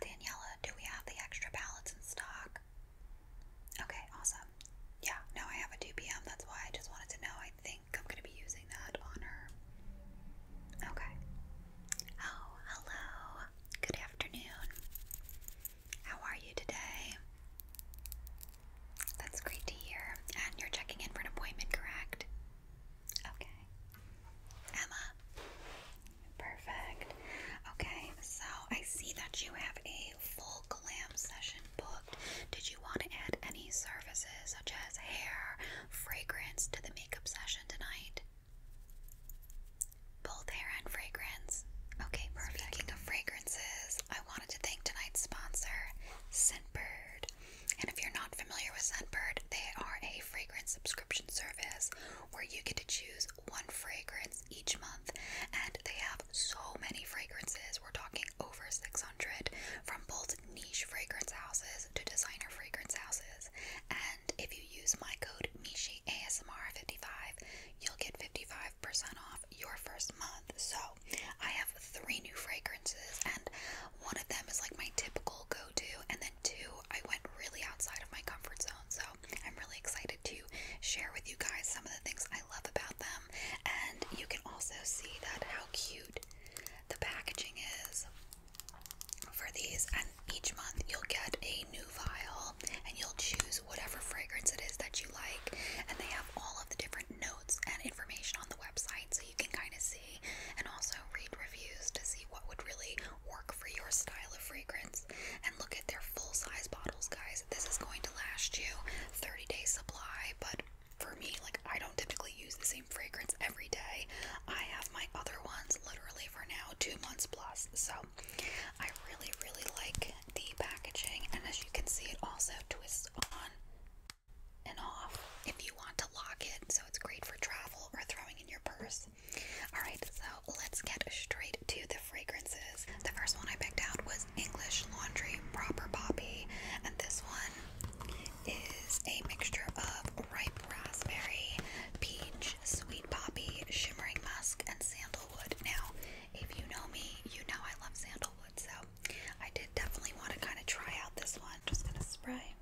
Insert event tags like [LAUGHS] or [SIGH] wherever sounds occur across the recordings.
Daniella, do we have the extra pallets in stock? Okay, awesome. Yeah, no, I have a 2 p.m. That's why I just wanted to know. I think I'm going to be using that on her. Okay. Oh, hello. Good afternoon. How are you today? That's great to hear. And you're checking in for an appointment, correct? Okay. Emma. Perfect. Okay, so I see that you have a full glam session booked. Did you want to add any services such as hair, fragrance to the makeup session tonight? Both hair and fragrance. Okay, perfect. Speaking of fragrances, I wanted to thank tonight's sponsor, Scentbird. And if you're not familiar with Scentbird, they are a fragrance subscription service where you get to choose one fragrance each month, and they have so many fragrances. We're talking over 600 from both niche fragrance houses to designer fragrance houses. And if you use my code Mishi 55 you'll get 55% off your first month. So I have three new fragrances, and one of them is like my typical go to, and then two I went really outside of my comfort zone. So I'm really excited to share with you guys some of the things I love about them. And you can also see that how cute the packaging is for these. And each month you'll get a new vial and you'll choose whatever fragrance it is that you like. And they have all of the different notes and information on the website so you can kind of see and also read reviews to see what would really work for your style of fragrance. And look at their full size bottles, guys. This is going to last you 30 days' supply, but for me, like I don't typically use the same fragrance every day. I have my other ones literally for now two months plus. So I really, really like the packaging, and as you can see, it also twists on and off if you want to lock it. So it's great for travel or throwing in your purse. Alright, so let's get straight to the fragrances. The first one I picked out was English Laundry Proper Poppy, and this one is a mixture of ripe raspberry, peach, sweet poppy, shimmering musk, and sandalwood. Now, if you know me, you know I love sandalwood, so I did definitely want to kind of try out this one. Just gonna spray.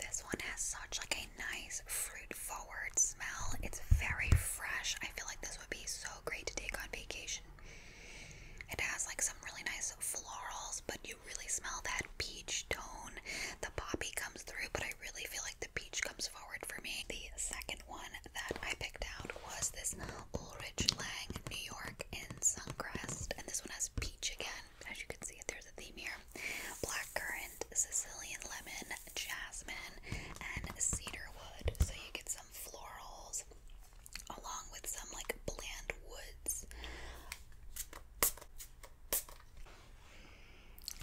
This one has such like a nice fruit forward smell. It's very fresh. I feel like this would be so great to take on vacation. It has like some really nice florals, but you really smell that peach tone. The poppy comes through, but I really feel like the peach comes forward for me. The second one that I picked out was this Ulrich Lang New York in Suncrest, and this one has peach again as you can see, there's a theme here blackcurrant, Sicilian lemon, jasmine, and cedarwood. So you get some florals along with some like bland woods.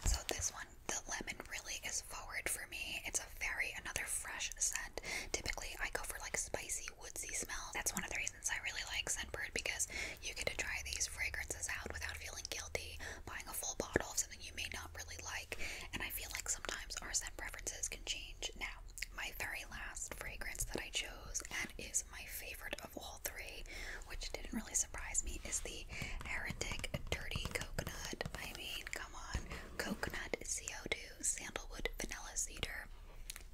So this one, the lemon really is forward for me. It's a very another fresh scent. Typically I go for like spicy woodsy smell. That's one of the reasons reasons I really like Scentbird because you get to try these fragrances out without feeling guilty buying a full bottle of something you may not really like. And I feel like sometimes our scent preferences can change. Now, my very last fragrance that I chose and is my favorite of all three, which didn't really surprise me, is the Heretic Dirty Coconut. I mean, come on, coconut, CO2, sandalwood, vanilla, cedar.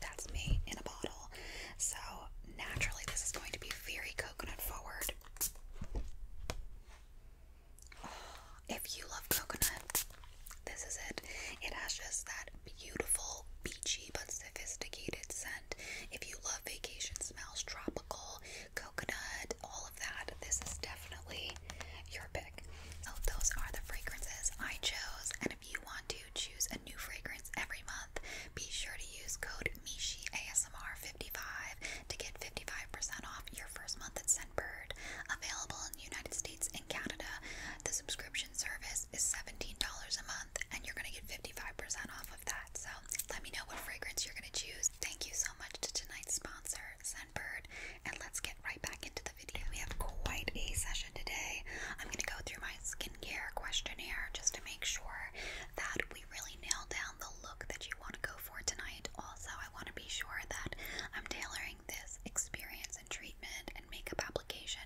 That's me in a bottle. So, naturally, this is going to be very coconut forward. Oh, if you love coconut, this is it. It has just that beautiful, beachy, but sophisticated scent. If you love vacation smells, tropical, coconut, all of that, this is definitely your pick. So, oh, those are the fragrances I chose. And if you want to choose a new fragrance every month, be sure to use code Mishi ASMR 55 to get 55% off your first month at Scentbird. Available in the United States and Canada, the subscription service is $17 a month, and you're going to get 55% off of that. So let me know what fragrance you're going to choose. Thank you so much to tonight's sponsor, Scentbird, and let's get right back into the video. We have quite a session today. I'm going to go through my skin questionnaire just to make sure that we really nail down the look that you want to go for tonight. Also, I want to be sure that I'm tailoring this experience and treatment and makeup application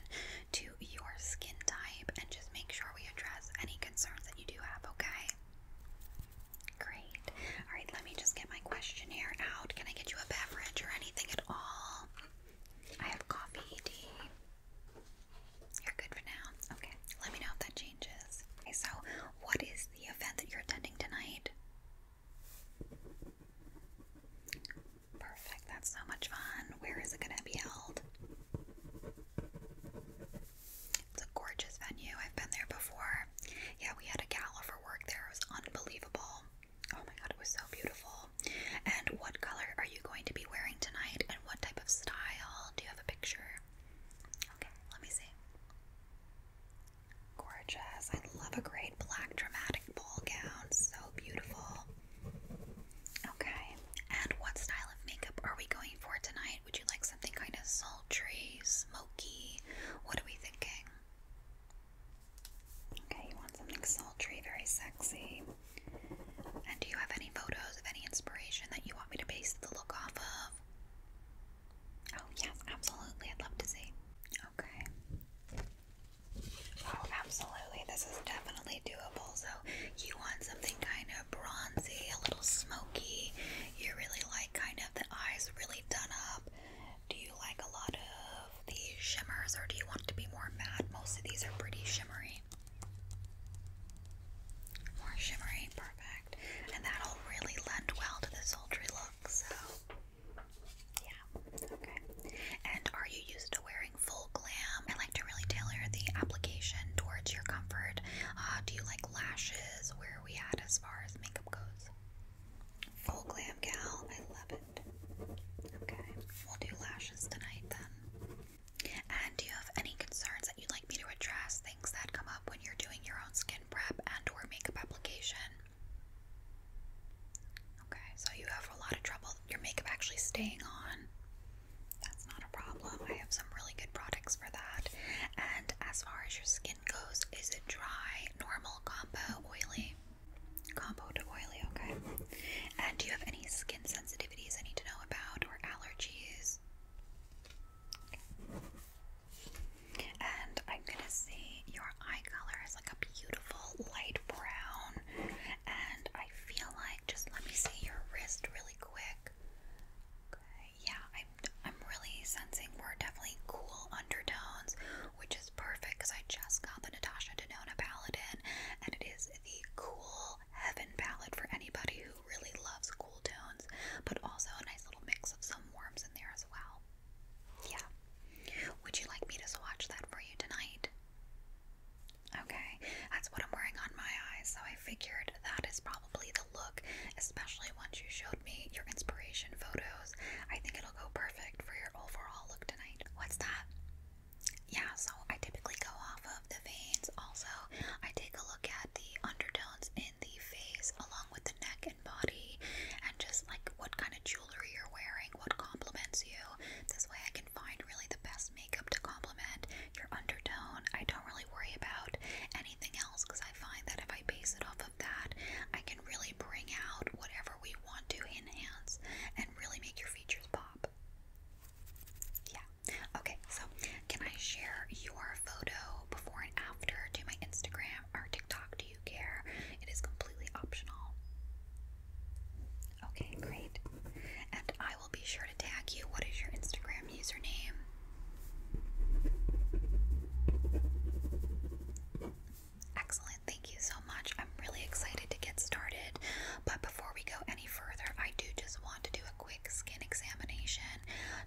to your skin type and just make sure we address any concerns that you do have, okay? Great. All right, let me just get my questionnaire out. Can I get you a beverage or anything at all? I have coffee, tea. You're good for now. Okay. Let me know if that changes. Okay, so what is the event that you're attending tonight? Perfect. That's so much fun. Where is it going to be held? It's a gorgeous venue. I've been there before. Yeah, we had a gala for work there. It was unbelievable. Oh my god, it was so beautiful. And what color are you going to be wearing tonight? And what type of style? Do you have a picture? Okay, let me see. Gorgeous. I love a great black dramatic ball gown. So beautiful. Okay, and what style of makeup are we going for tonight? Would you like something kind of sultry, smoky? What are we thinking? Okay, you want something sultry, very sexy. And do you have any photos of any inspiration that you want me to base the look off of? Oh, yes, absolutely. I'd love to see. Okay. Oh, absolutely. This is definitely doable. So, you want something kind of bronzy, a little smoky. You really like kind of the eyes really done up. Do you like a lot of these shimmers or do you want to be more matte? Most of these are pretty shimmery. More shimmery, perfect. And that'll really lend well to the sultry look, so yeah, okay. And are you used to wearing full glam? I like to really tailor the application towards your comfort. Uh, do you like lashes? Where we at as far as makeup goes? Full glam gal, I love it. Okay, we'll do lashes tonight then. And do you have any concerns that you'd like me to address? Things that come up when you're doing your own skin prep and or makeup application? Okay, so you have a lot of trouble your makeup actually staying on. That's not a problem. I have some really good products for that. And as far as your skin goes, is it dry, normal, combo, oily? Combo to oily, okay. And do you have any skin sensitivities I need to know about or allergies. And I'm gonna say your eye color is like a beautiful light brown. And I feel like just let me see your wrist really quick. yeah, I'm I'm really sensing we're definitely cool undertones, which is perfect because I just got the Natasha Denona Paladin, and it is the cool heaven palette for anybody who really loves cool tones, but also a nice little mix of some warms in there as well. Yeah. Would you like me to swatch that for you tonight? Okay, that's what I'm wearing on my eyes, so I figured that is probably the look, especially once you showed me your inspiration photos. I think it'll go perfect for your overall look tonight. What's that? yeah, so I typically go off of the veins. Also, I take a look at the undertones in the face along with the neck and body, and just like what kind of jewelry you're wearing, what complements you. This way, I can find really the best makeup to complement your undertone. I don't really worry about anything else because I find that if I base it off of that, I can really bring out whatever we want to enhance and really make your features pop. Yeah. Okay, so can I share your photo before and after to my Instagram or TikTok? Do you care? It is completely optional. Okay, great. And I will be sure to tag you. What is your Instagram username? Excellent. Thank you so much. I'm really excited to get started. But before we go any further, I do just want to do a quick skin examination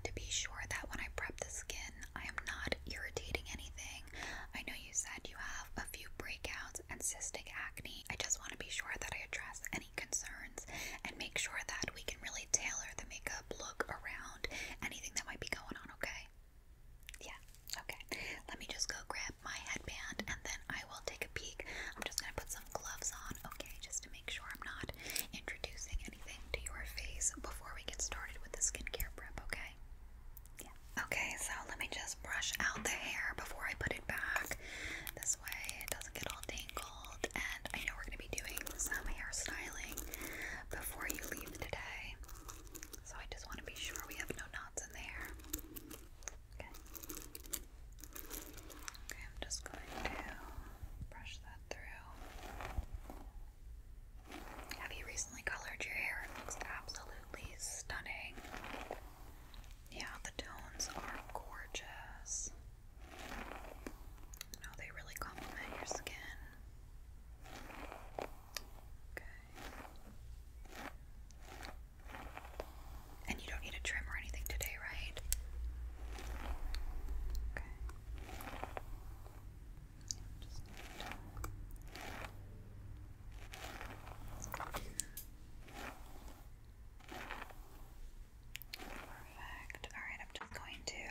to be sure that when I prep the skin, I am not irritating anything. I know you said you have a few breakouts and cystic acne. I just want to be sure that I address any concerns and make sure that we can really tailor the makeup look around anything that might be going on, okay? Yeah, okay. Let me just go grab my headband and then I will take a peek. I'm just going to put some gloves on, okay, just to make make sure I'm not introducing anything to your face before we get started with the skincare prep, okay? Yeah. Okay, so let me just brush out the hair before I put it back. This way it doesn't get all tangled. And I know we're going to be doing some hairstyling before you leave today. So I just want to be sure we have no knots in the hair. Okay. Okay, I'm just going to brush that through. Have you recently colored your hair? It looks absolutely stunning. Yeah, the tones are gorgeous. No, they really complement your skin. Okay. And you don't need a trim or anything today, right? Okay. Perfect. Alright, I'm just going to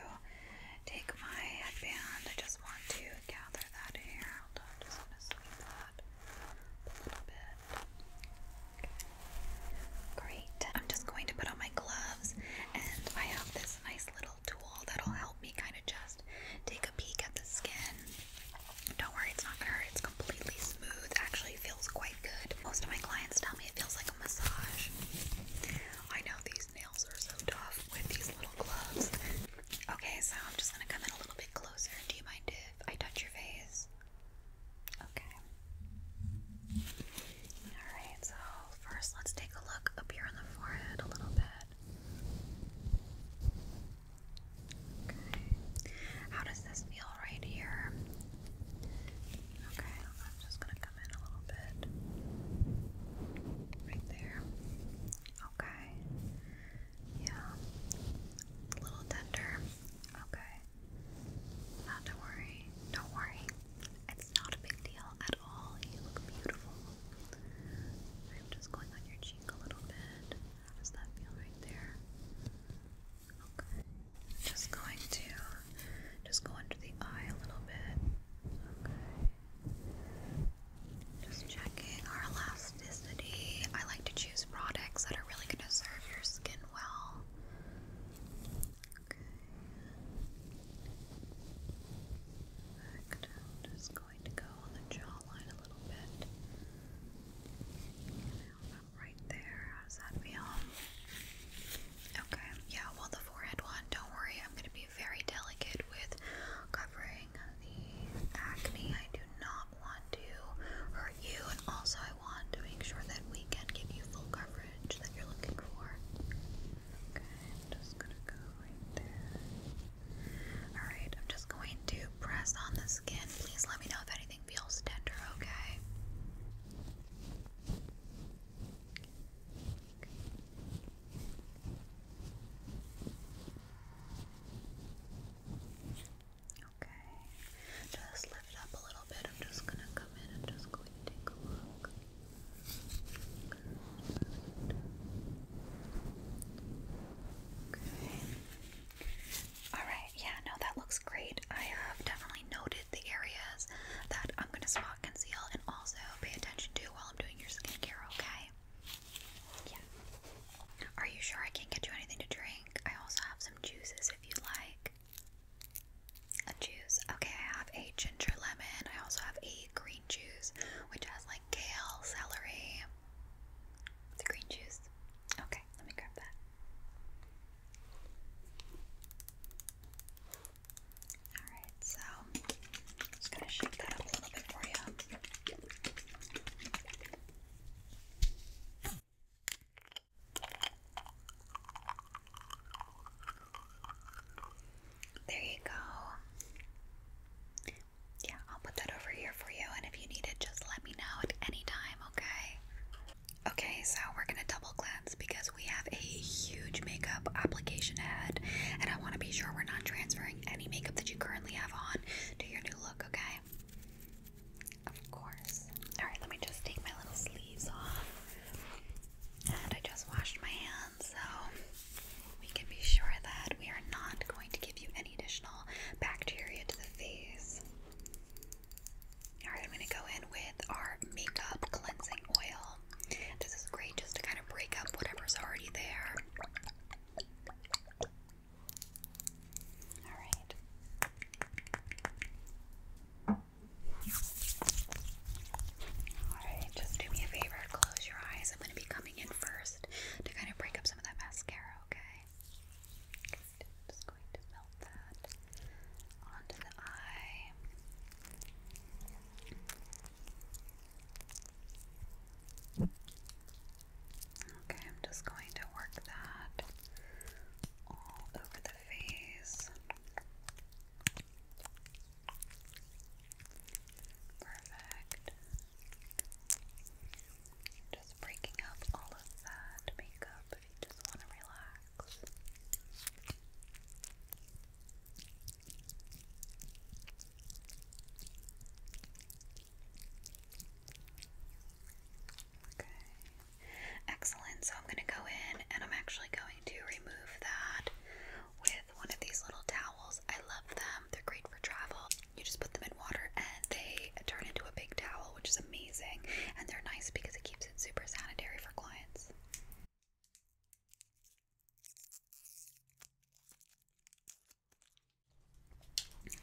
take my headband. I just want to gather that hair. I'm just going to sweep that a little bit. Okay. Great. I'm just going to put on my gloves, and I have this nice little tool that'll help me kind of just take a peek at the skin. Don't worry, it's not gonna hurt. It's completely smooth. Actually, feels quite good. Most of my clients tell me it feels like a massage. I know these nails are so tough with these little gloves. Okay, so I'm just gonna come in a little bit closer. Do you mind if I touch your face? Okay. Alright, so first let's take a look up here on the forehead a little bit. Okay. How does this feel right here? Okay, I'm just gonna come in a little bit. Right there. Okay. Yeah. A little tender. Okay. Not worry. Don't worry. It's not a big deal at all. You look beautiful. I'm just going on your cheek a little bit. How does that feel right there? Just going to just go under the eye a little bit. Okay. Just checking our elasticity. I like to choose products that are really going to serve your skin well. Okay. I'm just going to go on the jawline a little bit. Right there. How does that feel? Okay. Yeah, well, the forehead one, don't worry. I'm going to be very delicate with covering the acne. I do not want to hurt you, and also want to make sure that we can give you full coverage that you're looking for. Okay, I'm just gonna Alright, I'm just going to press on the skin. Please let me know if anything feels tender, okay? Okay, just Alright, yeah, no, that looks great. I have definitely noted the areas that I'm gonna spot conceal and also pay attention to while I'm doing your skincare, okay? Yeah. Are you sure I can't get you anything to drink? I also have some juices if you like a juice. Okay, I have a ginger lemon. I also have a green juice, which has like kale, celery. The green juice. Okay, let me grab that. Alright, so just gonna shake that up a little bit for you. There you go. Yeah, I'll put that over here for you, and if you need it, just let me know at any time, okay? Okay, so we're gonna double cleanse because we have a huge makeup application ahead, and I want to be sure we're not transferring any makeup that you currently have on to your new look, okay? Of course. Alright, let me just take my little sleeves off. And I just washed my hands, so we can be sure that we are not going to give you any additional bacteria to the face. Alright, I'm going to go in with our makeup cleansing oil. This is great just to kind of break up whatever's already there. Alright just do me a favor, close your eyes. I'm going to be coming in first to kind of break up some of that mascara, okay? just going to melt that onto the eye. Okay, I'm just going to work that all over the face. Okay. Perfect. Just breaking up all of that makeup if you just want to relax. Okay. Excellent. So I'm going to go in and I'm actually going to remove that with one of these little towels. I love them. They're great for travel. You just put them in water and they turn into a big towel, which is amazing. And they're nice because it keeps it super sanitary for clients.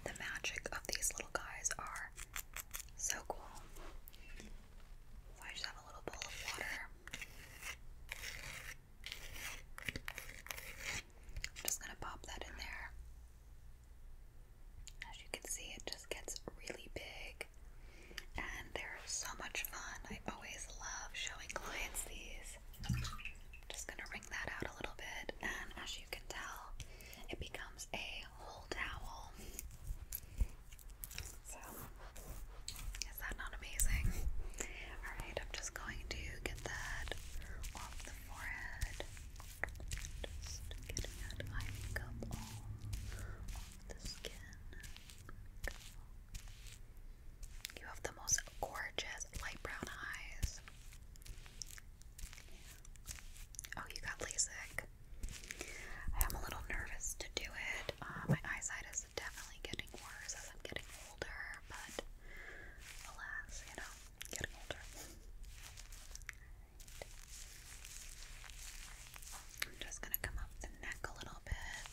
The magic of these little guys are so cool a little bowl of water. I'm just going to pop that in there. As you can see, it just gets really big, and they're so much fun. I always love showing clients these. I'm just going to wring that out a little bit, and as you can tell, it becomes a whole towel is that not amazing? Alright, I'm just going to get that off the forehead. Just getting that eye makeup all off the skin. You have the most gorgeous light brown eyes. Oh, you got LASIK. I am a little nervous to do it. Uh, my eyesight is definitely getting worse as I'm getting older, but alas, you know, getting older. I'm just gonna come up the neck a little bit.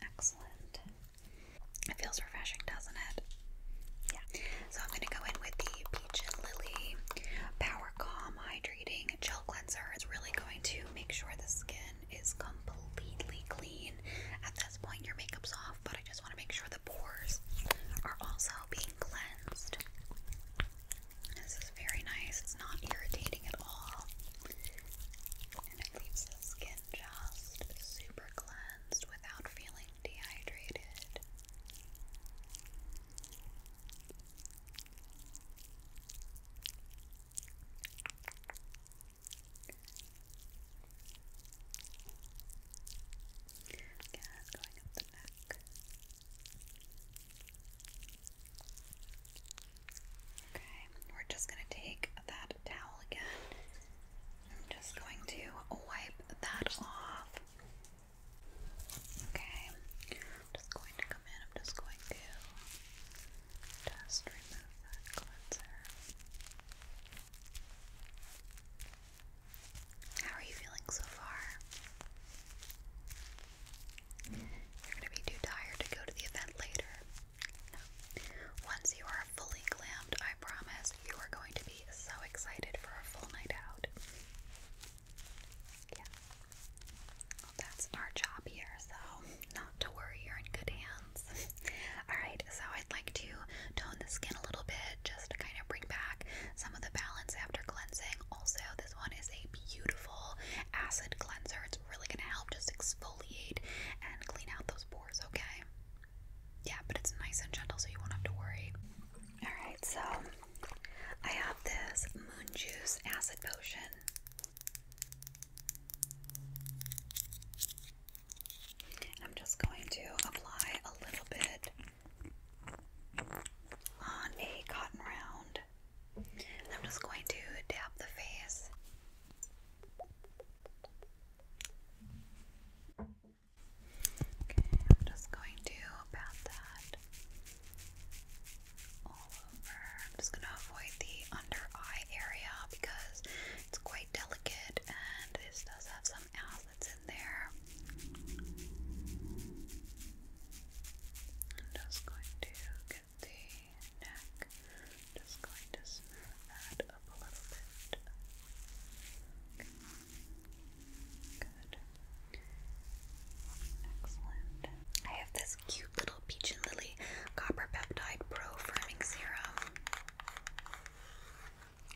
Excellent. It feels refreshing, doesn't it? Yeah. So I'm gonna go in with the Peach and Lily Power Calm Hydrating hydrating gel cleanser is really going to make sure the skin is completely clean. At this point, your makeup's off, but I just want to make sure the pores are also being cleansed. This is very nice, it's not irritating at all. And it leaves the skin just super cleansed without feeling dehydrated. Again, going up the neck. Okay, we're just going to take that towel again. I'm just going to wipe that off. Okay, I'm just going to come in, I'm just going to just remove that cleanser. How are you feeling so far? You're going to be too tired to go to the event later. Once you are fully clamped, I promise you are going to be so excited for a full night out. Yeah. that's our job here, so not to worry, you're in good hands. [LAUGHS] Alright, so I'd like to tone the skin a little bit just to kind of bring back some of the balance after cleansing. Also, this one is a beautiful acid cleanser. It's really going to help just exfoliate and clean out those pores, okay? Yeah, but it's nice and gentle, so you won't have to worry. Alright, so I have this Moon Juice Acid Potion. I'm just going to apply a little bit on a cotton round. I'm just going to dab the face. Okay, I'm just going to pat that all over. I'm just gonna avoid the under eye area because it's quite delicate and this does have some acids in there. I'm just going to get the neck, just going to smooth up a little bit. Good. I have this cute little peach and lily copper peptide pro firming serum.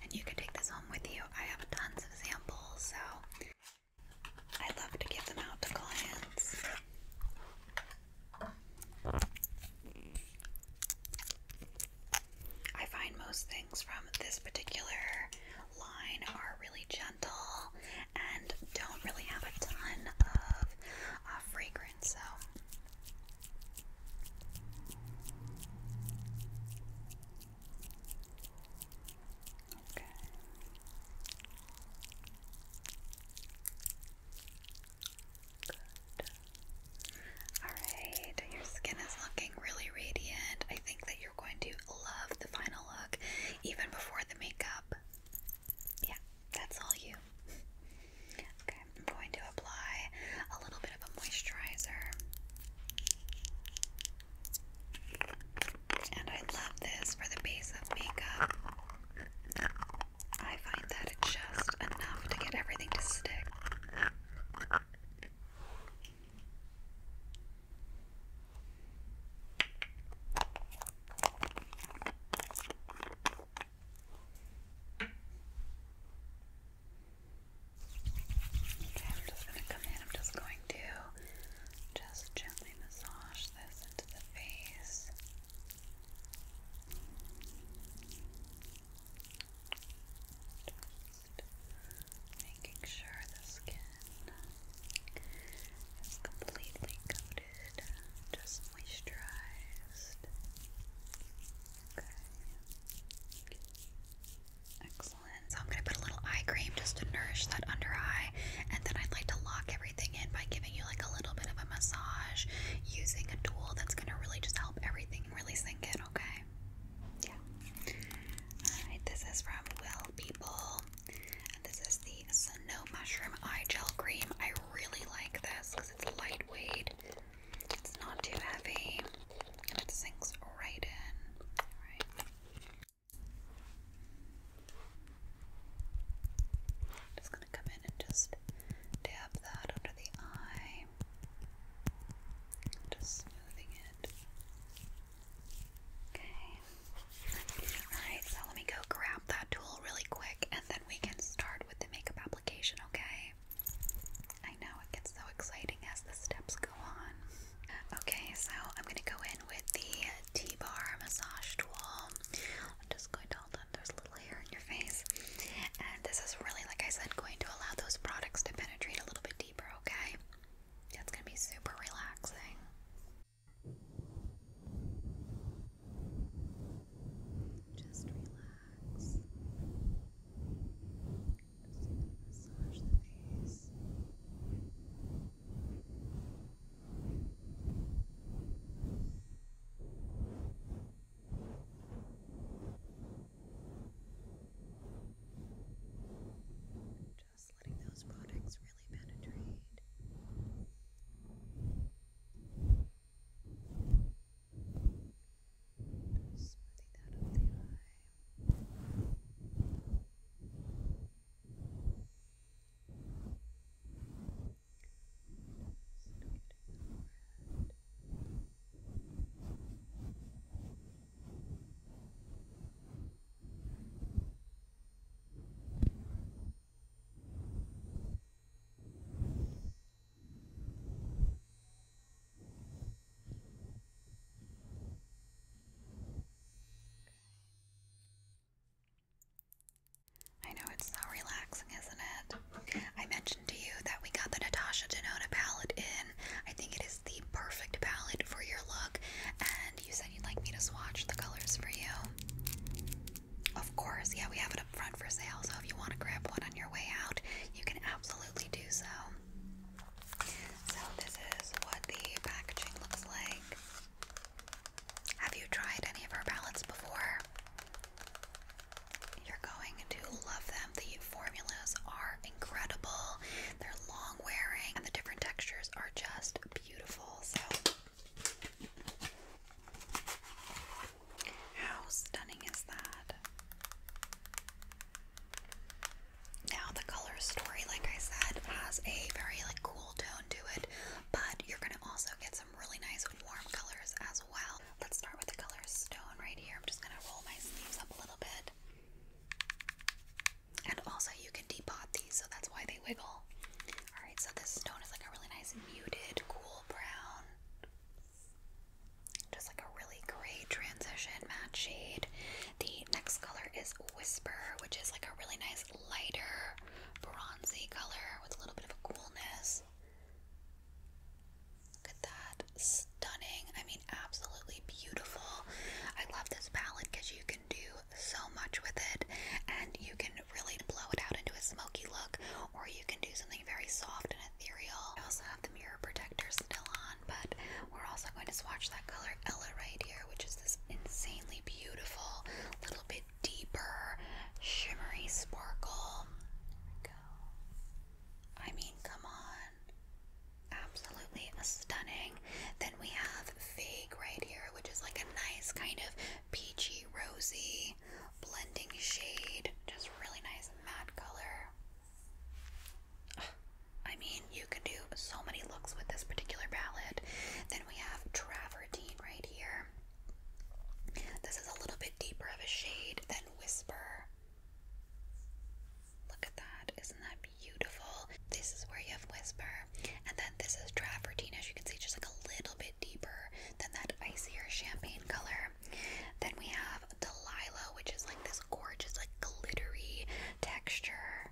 And you can take this home with you. I have tons of samples, so I love to give them out to clients. I find most things from this particular line are really gentle and don't really have a ton of uh, fragrance. So. Okay. Good. Alright, your skin is looking really radiant. I think that you're going to love the final look even before the makeup. Yeah, that's all you. [LAUGHS] Okay, I'm going to apply a little bit of a moisturizer. And I love this for the base of makeup. I find that it's just enough to get everything to stick. Okay, I'm just going to come in. I'm just going to just gently massage this into the face. making sure the skin completely coated, just moisturized. Okay. Excellent. So I'm going to put a little eye cream just to nourish that under eye, and then I'd like to lock everything in by giving you like a little bit of a massage using a tool that's going to really just help everything really sink in, okay? Yeah. Alright, this is from Will People this is the Snow Mushroom Eye Gel Cream. I really like this because it's lightweight, it's not too heavy, and it sinks right in. just going to come in and just dab that under the eye. Just smoothing it. Okay. Alright, so let me go grab that tool really quick and then we can start with the makeup application, okay? I know it gets so exciting as the steps go on. Okay, so I'm gonna go in with the T bar massage tool. I'm just going to hold on, there's a little hair in your face. And this is really, like I said, going to allow those products to penetrate a little bit deeper, okay? That's gonna be super relaxing. Just relax. Just massage the face. Just just letting those products really penetrate. Just smoothing the eye. Just getting I know it's so relaxing, isn't it? I mentioned to you that we got the Natasha Denona palette in. I think it is the perfect palette for your look, you said you'd like me to swatch the colors for you. Of course, yeah, we have it up front for sale, so if you want to grab one on your way out, you can absolutely do so. So, this is what the packaging looks like. Have you tried any of our palettes before? You're going to love them. The formulas are incredible, they're long wearing, and the different textures are just beautiful. So, how stunning is that? Now the color story, like I said, has a very like cool tone to it, but you're gonna also get some really nice warm colors as well. Let's start with the color stone right here. I'm just gonna roll my sleeves up a little bit. And also you can depot these, so that's why they wiggle. Alright, so this stone is like a really nice muted, cool brown. Just like a really great transition matte shade. The next color is Whisper, which is like a really nice lighter, bronzy color with a little bit of a coolness. Look at that. Stunning. I mean, absolutely beautiful. I love this palette because you can do so much with it, and you can really blow it out into a smoky look, or you can do something very soft and ethereal. I also have the mirror protector still on, but we're also going to swatch that color Ella right here, which is this insanely beautiful, little bit deeper, shimmery sparkle. I mean, come on. Absolutely stunning. Then we have Vague right here, which is like a nice kind of peachy rosy, blending shade, just really nice matte color. I mean, you can do so many looks with this particular palette. Then we have Travertine right here. This is a little bit deeper of a shade than Whisper. Look at that. Isn't that beautiful? This is where you have Whisper, and then this is Travertine, as you can see, just like a little bit deeper than that icier champagne color. Then we have Delilah, which is like this gorgeous, like glittery texture.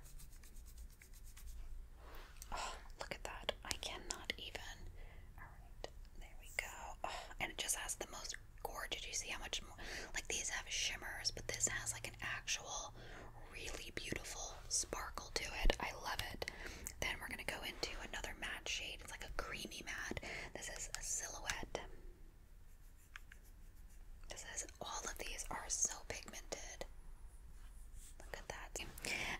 Oh, look at that. I cannot even. Alright, there we go. Oh, and it just has the most gorgeous. You see how much more. Like these have shimmers, but this has like an actual really beautiful sparkle to it. I love it. Then we're going to go into another matte shade. It's like a creamy matte. This is a silhouette. This is all of these are so pigmented. Look at that.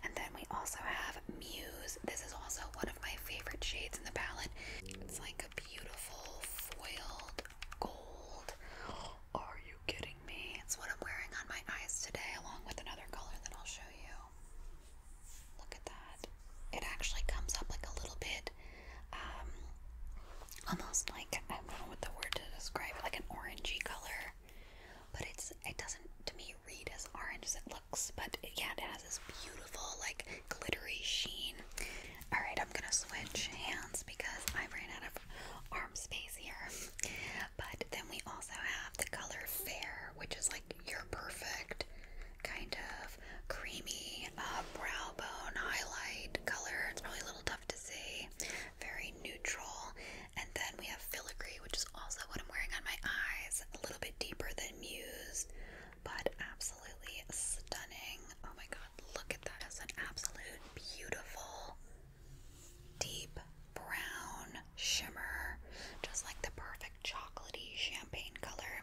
And then we also have Muse. This is also one of my favorite shades in the palette. It's like a beautiful foiled gold. [GASPS] Are you kidding me? It's what I'm wearing on my eyes today, along with another color that I'll show you. Look at that. It actually comes up like a little bit, um, almost like I don't know what the word to describe it, like an orangey color. But it's it doesn't to me read as orange as it looks. But it, yeah, it has this beautiful like glittery sheen. All right, I'm gonna switch hands because I ran out of arm space here. But then we also have the color Fair, which is like your perfect kind of creamy uh, brow bone highlight color. It's probably a little tough to see, very neutral. And then we have Filigree, which is also what I'm wearing on my eyes, a little bit deeper than Muse, but absolutely stunning. Oh my god, look at that! It's an absolute beautiful deep brown shimmer, just like the perfect chocolatey champagne color.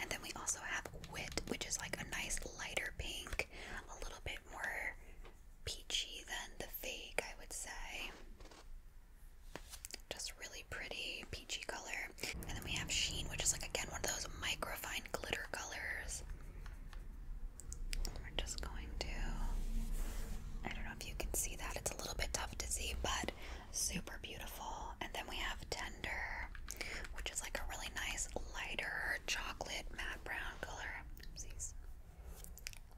And then we also have Wit, which is like a nice lighter pink, a little bit more peachy than the fake, I would say. Just really pretty peachy color. And then we have Sheen, which is like again one of those microfine glitter colors. We're just going to, I don't if you can see that. It's a little bit tough to see, but super beautiful. And then we have Tender, which is like a really nice lighter chocolate matte brown color.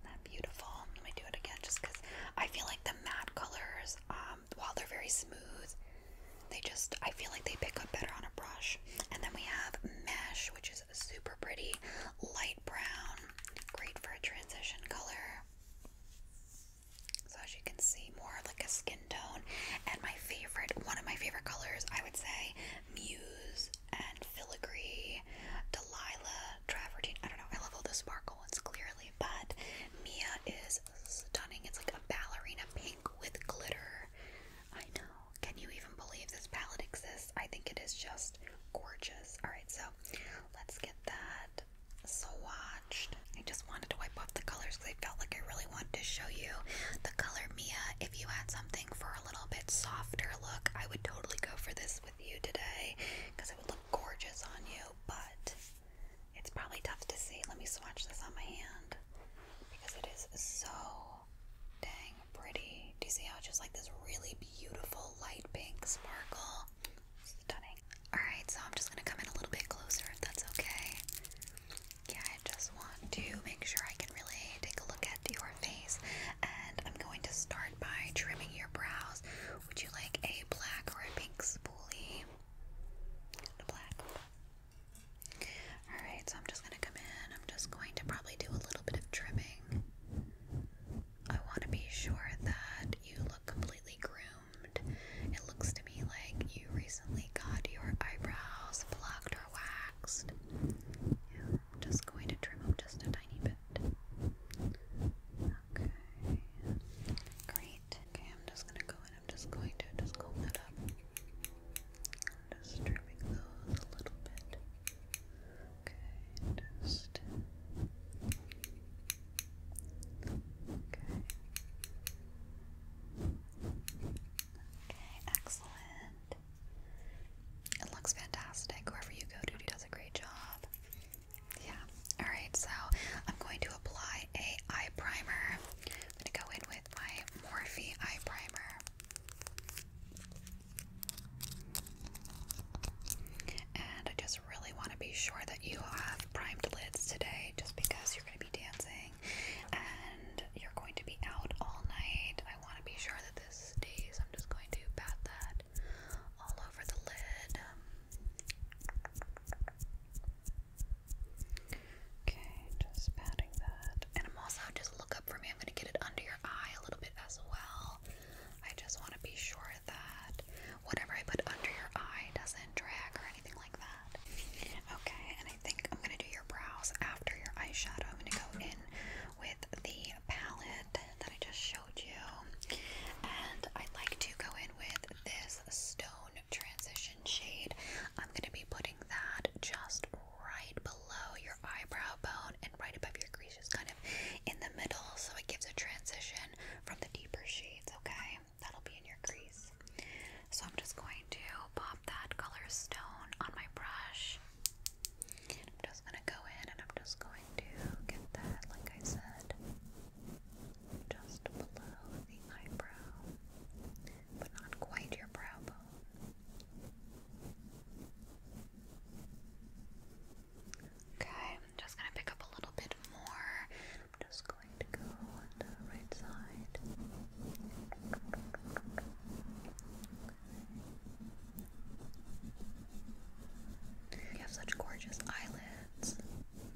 That beautiful. Let me do it again just because I feel like the matte colors, um, while they're very smooth, they just I feel like they pick up better on a brush. And then we have mesh, which is super pretty, light brown, great for a transition color. So as you can see, more like a skin tone. And my favorite, one of my favorite colors, I would say Muse and Filigree, Delilah, Travertine. I don't know, I love all the sparkle ones clearly, but Mia is stunning. It's like a ballerina pink with glitter. I know. Can you even believe this palette exists? I think it is just gorgeous. Alright, so let's get that swatched. I just wanted to wipe off the colors because I felt like I really wanted to show you the color Mia. If you had something for a little bit softer look, I would totally go for this with you today because it would look gorgeous on you, but it's probably tough to see. Let me swatch this on my hand because it is so dang pretty. Do you see how it's just like this really beautiful light pink sparkle? Stunning. Alright, so I'm just gonna come in a little bit closer if that's okay. Yeah, I just want to make sure I can really take a look at your face. And I'm going to start by trimming your brows. Would you like a black or a pink spoolie? black. Alright, so I'm just gonna come in. I'm just going to probably do a little bit of trimming. I want to be sure that you completely groomed. It looks to me like you recently got your eyebrows plucked or waxed. I'm just going to trim them just a tiny bit. Okay. Great. Okay, I'm just gonna go in. I'm just going to just comb that up. just trimming those a little bit. Okay, just Okay. excellent. It looks fantastic. Whoever you go to does a great job. Yeah. Alright, so I'm going to apply a eye primer. I'm gonna go in with my Morphe eye primer. And I just really want to be sure that you have primed lids today just because you're going to be dancing and you're going to be out all night. I want to be sure that this stays. I'm just going to pat that all over the lid. Okay, just patting that. And I'm also just look up for me. I'm going to get it under your eye a little bit as well. I just want to be sure that whatever I put under your eye doesn't drag or anything like that. Okay, and I think I'm going to do your brows after your eyeshadow. I'm going to go in with the palette that I just showed you. And I'd like to go in with this stone transition shade. I'm going to be putting that just right below your eyebrow bone and right above your crease, just kind of in the middle, so it gives a transition from the deeper shades, okay? That'll be in your crease. So I'm just going to pop that color stone on my brush. I'm just going to go in and I'm just going to get that, like I said, just below the eyebrow, but not quite your brow bone. Okay. I'm just gonna pick up a little bit more. just going to go on the right side. You have such gorgeous eyelids.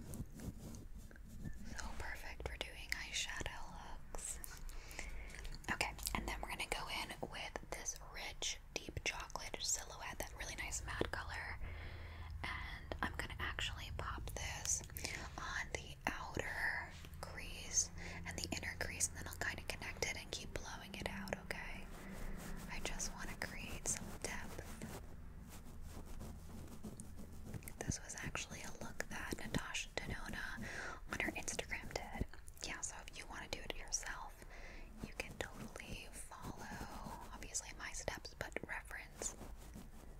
So perfect for doing eyeshadow looks. Okay, and then we're gonna go in with this rich, deep chocolate silhouette really nice matte color. And I'm going to actually pop this on the outer crease and the inner crease, and then I'll kind of connect it and keep blowing it out, okay? I just want to create some depth. This was actually a look that Natasha Denona on her Instagram did. Yeah, so if you want to do it yourself, you can totally follow, obviously, my steps but reference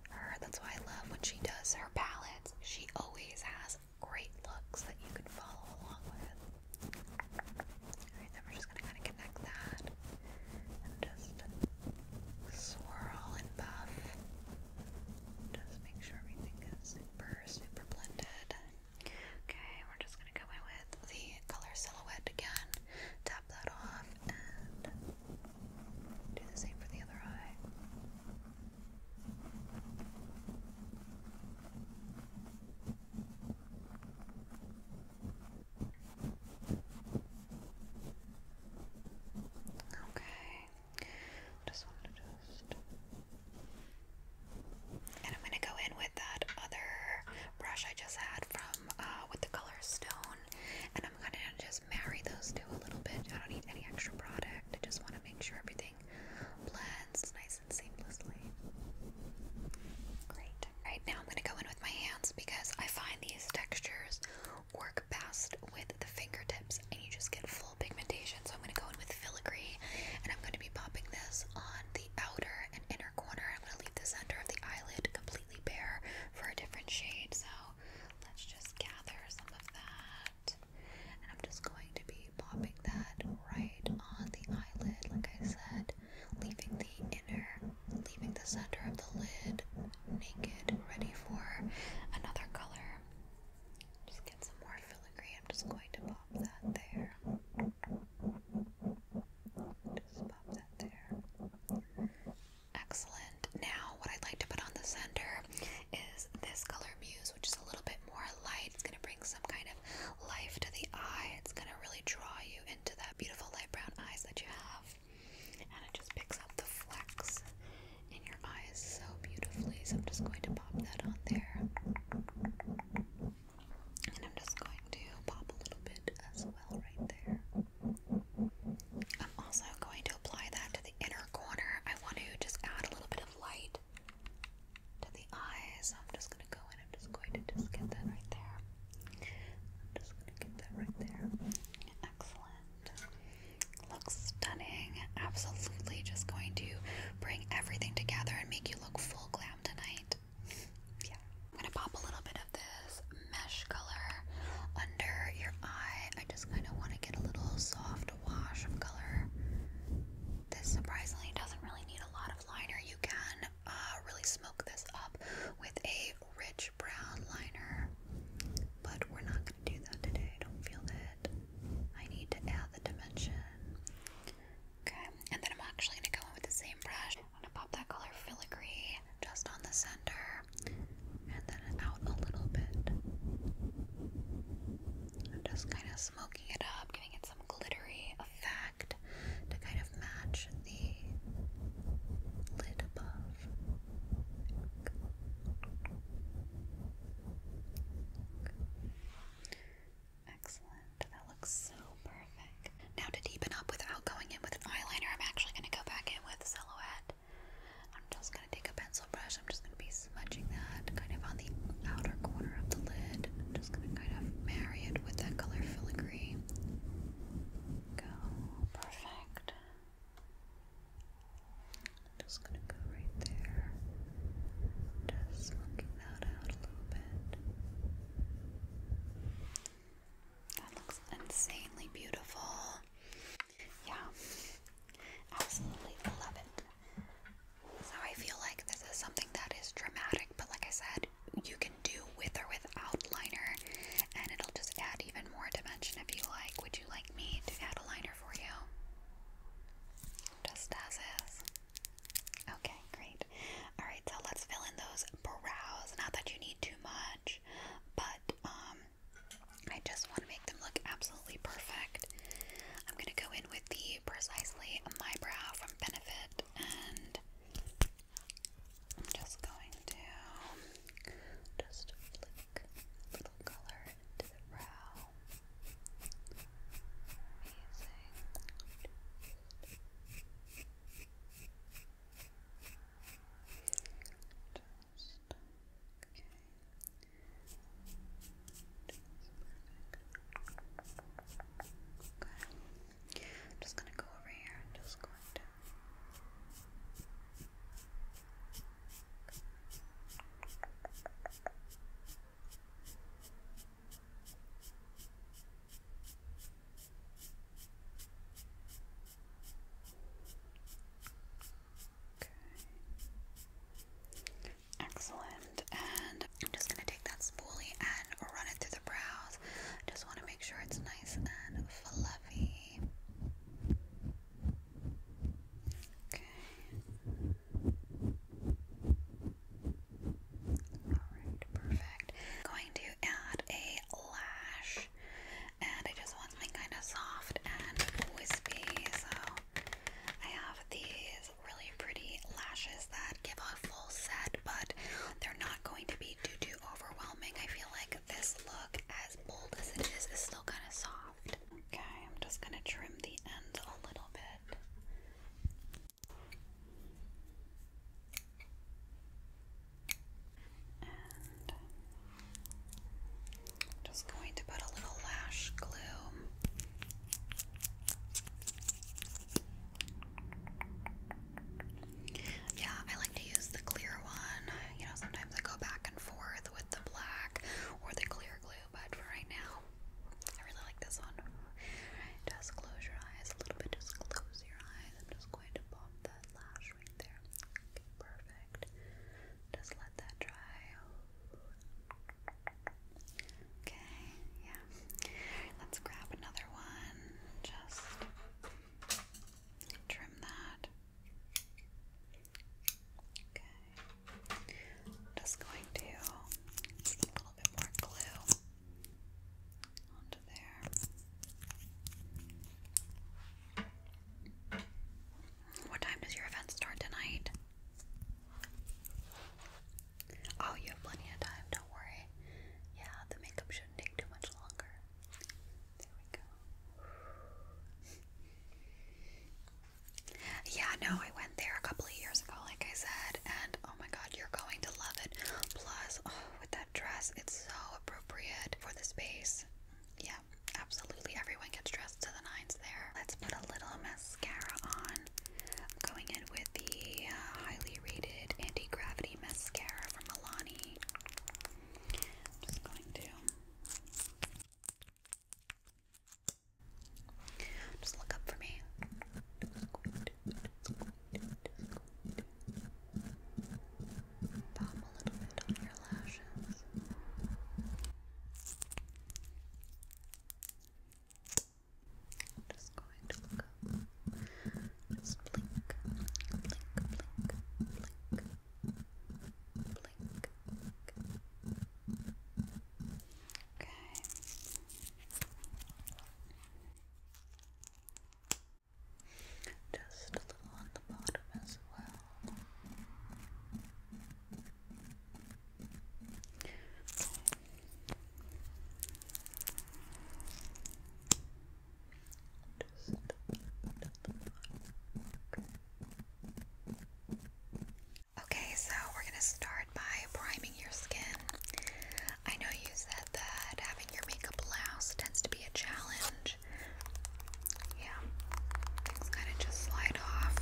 her. That's why I love when she does her palettes. She always has great looks that you can follow along with. Alright, then we're just gonna kinda connect that and just swirl and buff. Just make sure everything is super, super blended. Okay, we're just gonna go in with the color silhouette again, tap that off, and do the same for the other eye. Okay, just want to just. And I'm going to go in with that other brush I just had from um, uh, with the color stone, and I'm gonna just marry those two a little bit. I don't need any extra product. I just want to make sure everything blends nice and seamlessly. Right now, I'm gonna go in with my hands because I find these textures work best with the fingertips, and you just get full pigmentation. So I'm gonna go in with filigree, and I'm gonna be popping this on the outer and inner corner. I'm gonna leave the center of the eyelid completely bare for a different shade. So let's just gather some of that. And I'm just going to be popping that right on the eyelid, like I said, leaving the inner, leaving the center of the lid naked, ready for another color. Just get some more filigree. I'm just going to pop that there. Just pop that there. Excellent. Now, what I'd like to put on the center is this color Muse, which is a little bit more light. It's going to bring some kind of life to the eye. It's going to really draw you into that beautiful light brown eyes that you have. And it just picks up the flecks in your eyes so beautifully. So I'm just going to pop that on there. And I'm just going to pop a little bit as well right there. I'm also going to apply that to the inner corner. I want to just add a little bit of light to the eye. So I'm just going to go in. I'm just going to just get that right there. I'm just going to get that right there. Excellent. Looks stunning. Absolutely just going to bring everything together and make you look full glam tonight. [LAUGHS] Yeah. I'm gonna pop a little bit of this mesh color under your eye. I just kind of want to get a little soft wash of color. This surprisingly doesn't really need a lot of liner. You can uh, really smoke this up with a rich brown liner, but we're not gonna do that today. I don't feel it. I need to add the dimension. Okay, and then I'm actually gonna go in with the same brush I'm gonna pop that color filigree just on the center and then out a little bit. just kind of smoking it up, giving it some glittery effect to kind of match the lid above. Excellent. That looks so perfect. Now to deepen up without going in with an eyeliner, I'm actually going to go back in with Silhouette. I'm just going to take a pencil brush. I'm just going to be smudging that kind of on the outer corner of the lid. I'm just going to kind of marry it with that color filigree. Go. Perfect. just going to go right there. Just smoking that out a little bit. That looks insanely beautiful. Yeah, absolutely love it. So I feel like this is something that is dramatic, but like I said, you can do with or without liner, and it'll just add even more dimension if you like. Would you like me to add a liner for you? Just as is. Okay, great. Alright, so let's fill in those brows. Not that you need too much, but um, I just want to make them look absolutely perfect. I'm going to go in with the Precisely My Brow from Benefit and I'm just going to just flick a little color into the brow. Amazing. Okay. I'm just gonna go over here just going to Excellent. And I'm just going to take that spoolie and run it through the brows. just want to make sure it's nice and fluffy. Okay. Alright, perfect. I'm going to add a lash and I just want something kind of soft and wispy. So I have these really pretty lashes that give a full set, but they're not going to be too too overwhelming. I feel like this look, as bold as it is, is still kind of soft. Okay, I'm just gonna trim the ends a little bit i just going to put a little lash glue. Yeah, I like to use the clear one. You know, sometimes I go back and forth with the black or the clear glue, but for right now, I really like this one. Just close your eyes a little bit, just close your eyes. I'm just going to pop that lash there. perfect. Just let that dry. Okay, yeah. Let's grab another one. Just trim that. Okay. Just going to a little bit more glue onto there. What time does your event start tonight? Oh, you have plenty of time, don't worry. Yeah, the makeup shouldn't take too much longer. There we go. yeah, no, I went there a couple of years ago, like I said, and oh my god, you're going to love it. Plus, oh, with that dress, it's so appropriate for the space. Yeah, absolutely. Everyone gets dressed to the nines there. Let's put a little mascara on. I'm going in with the uh, highly rated anti gravity mascara from Milani. just going to just look up for me. Pop a little bit on your lashes. just going to look up. Just blink, blink, blink, blink, blink. Okay. Just a little on the bottom as well. Okay. so we're gonna start by priming your skin. I know you said that having your makeup louse tends to be a challenge. Yeah, kind of just slide off.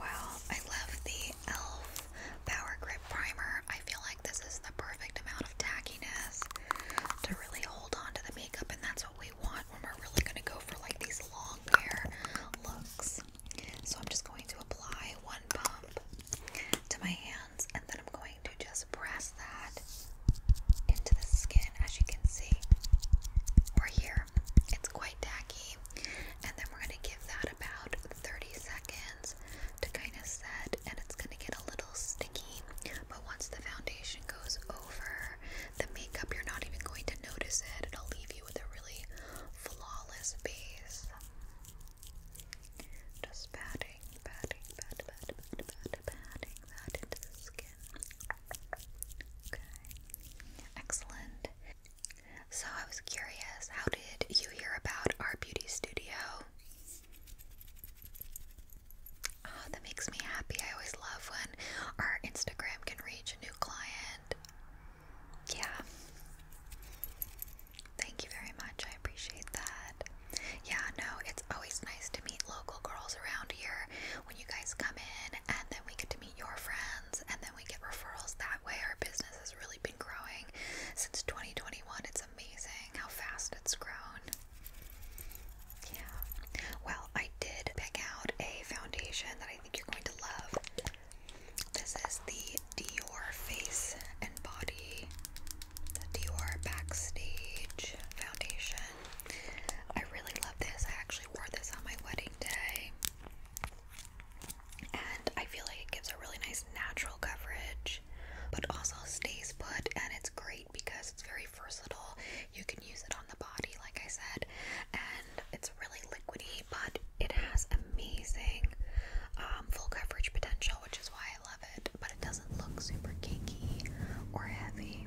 Wow, I love the e.l.f. Power Grip Primer. I feel like this is the perfect amount of tackiness to really hold on to the makeup, and that's what we want when we're really going to go for like these long hair looks. So I'm just going to apply one pump to my hands, and then I'm going to just press that into the skin, as you can see, or here. It's quite tacky. And then we're going to give that about 30 seconds to kind of set, and it's going to get a little sticky. But once the foundation goes over the makeup, you're not even going to notice it. It'll leave you with a really flawless base. Just patting, patting, patting, patting, patting, patting, patting that into the skin. Excellent. So I was curious, how did you hear about our beauty studio? Oh, that makes me happy. I always love when our Instagram can reach a new client. Yeah. Thank you very much. I appreciate that. Yeah, no, it's always nice to meet local girls around here when you guys come in, and then we get to meet your friends, and then we get referrals that way. Our business has really been growing since 2021. It's amazing how fast it's grown. Yeah. Well, I did pick out a foundation that I think you're going to love. This is the Dior Face and Body, the Dior Backstage Foundation. I really love this. I actually wore this on my wedding day. And I feel like it gives a really nice natural coverage, but also stays put. And it's great because it's very versatile. You can use it on the body, like I said, and it's really liquidy, but it has amazing um, full coverage potential, which is why I love it. But it doesn't look super kinky or heavy.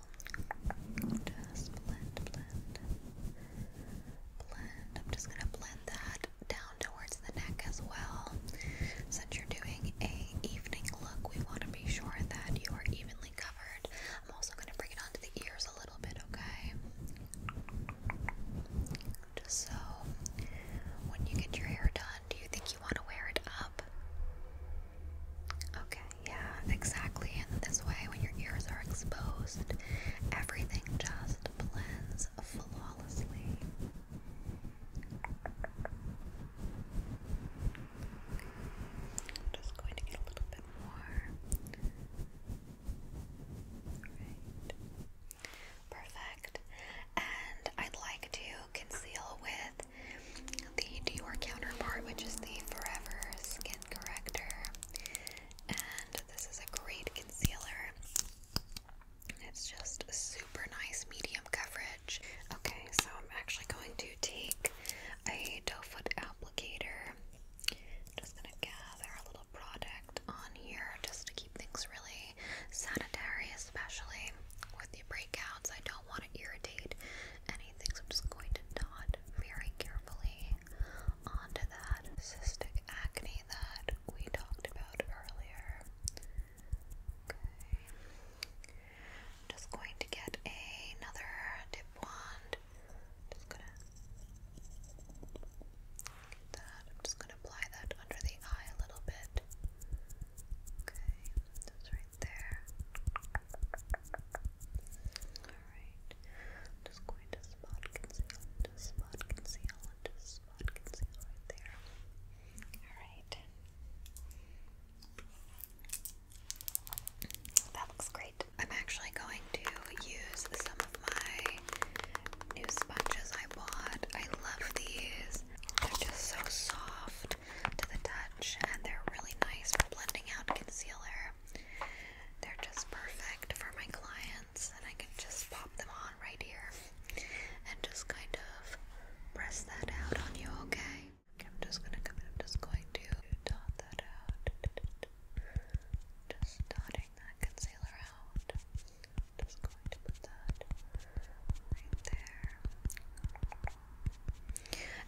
I'm just gonna blend that down towards the neck as well. Since you're doing a evening look, we want to be sure that you are evenly covered. I'm also gonna bring it onto the ears a little bit, okay? so when you get your hair done, do you think you want to wear it up? Okay, yeah, exactly. And this way, when your ears are exposed, everything just blends flawlessly. just going to get a little bit more. Perfect. And I'd like to conceal with the Dior counterpart, which is the Forever Skin Corrector. And this is a great concealer. It's just super nice medium coverage. Okay, so I'm actually going to take a doe foot applicator. just going to gather a little product on here just to keep things really sanitary, especially with the breakouts. I don't want to irritate any things. I'm just going to dot very carefully onto that cystic acne that we talked about earlier. Okay. just going to get another dip wand. Just gonna get that. I'm just gonna apply that under the eye a little bit. Okay. That's right there. Alright. just going to spot conceal, just spot conceal, just spot conceal right there. Alright. That looks great. I'm actually going to use some of my new sponges I bought. I love these. They're just so soft to the touch, and they're really nice for blending out concealer. They're just perfect for my clients, and I can just pop them on right here and just kind of press that out on you, okay? I'm just gonna come in, I'm just going to dot that out. Just dotting that concealer out. just going to put that right there.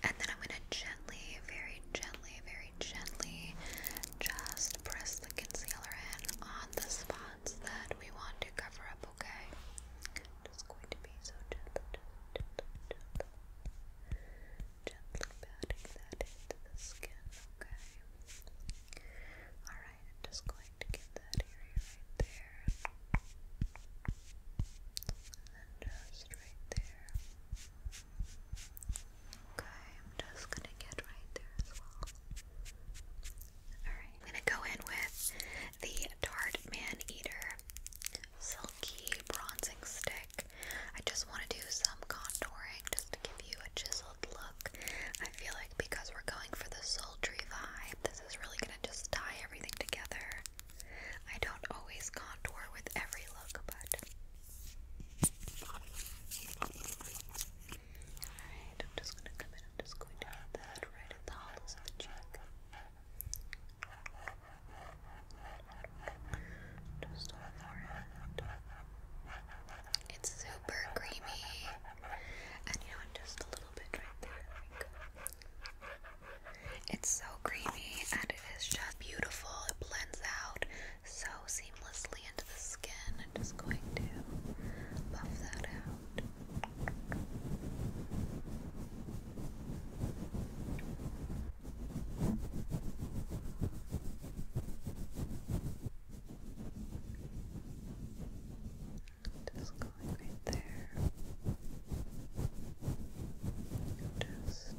And then I'm going to gently, very gently, very gently just press the concealer in on the spots that we want to cover up, okay? Just going to be so gentle, gently patting that into the skin, okay? Alright, just going to get that area right there just right there. Okay, I'm just gonna get right there as well. Alright, I'm gonna go in with the Tarte Man Eater Silky Bronzing Stick. I just want to do some contouring just to give you a chiseled look. I feel like because we're going for the sultry vibe, this is really gonna just tie everything together I don't always contour with every look, but. Alright, I'm just gonna come in, I'm just going to hit that right at the hollows of the cheek. Just on the It's super creamy. And you know Just a little bit right there. It's so creamy and it is just beautiful. It blends out so seamlessly into the skin. I'm just going to buff that out. Just going right there. Just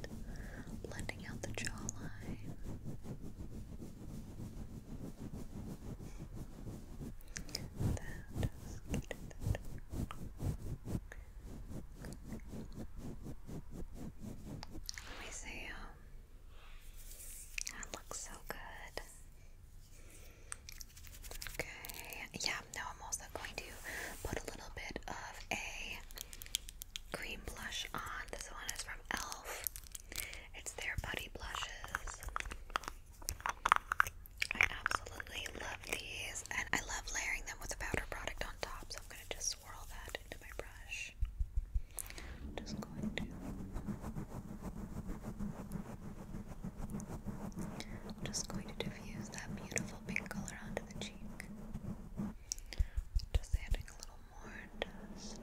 blending out the jawline. Let me see. Um, that looks so good. Okay. Yeah, now I'm also going to put a little bit of a green blush on. This one is from e.l.f. It's their Buddy Blushes. I absolutely love these, and I love layering them with a powder product on top, so I'm going to just swirl that into my brush. just going to just going to diffuse that beautiful pink color onto the cheek. Just adding a little more dust.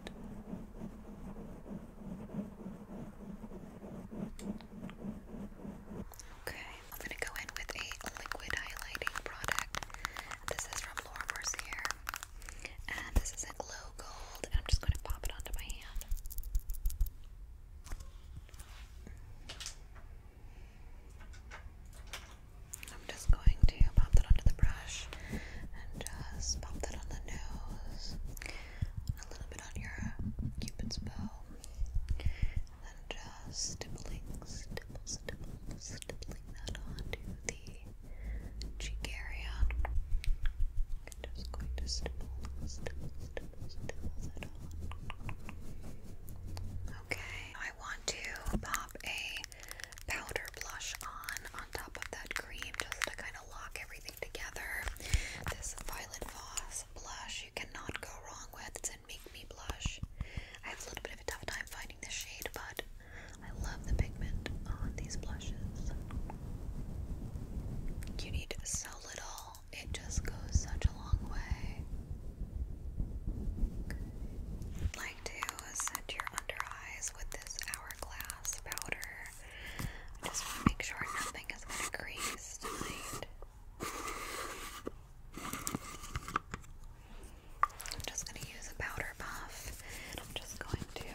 Okay, I'm going to go in with a liquid highlighting product. This is from Laura Mercier. And this is a glow gold, and I'm just going to pop it onto my hand. I'm just going to pop that onto the brush and just pop that on the nose, a little bit on your cupid's bow, and then just stippling, stipple, stipple, stippling that onto the cheek area. I'm just going to stipple, stipple, stipple, stipple that on. Okay, I want to pop a powder blush on on top of that cream just to kind of lock everything together. This Violet Voss blush you cannot go wrong with. It's in Make Me Blush. I have a little bit of a tough time finding this shade, but I love the pigment on these blushes. You need so little, it just goes such a long way i like to set your under eyes with this hourglass powder. just want to make sure nothing is going to crease tonight. I'm just going to use a powder puff I'm just going to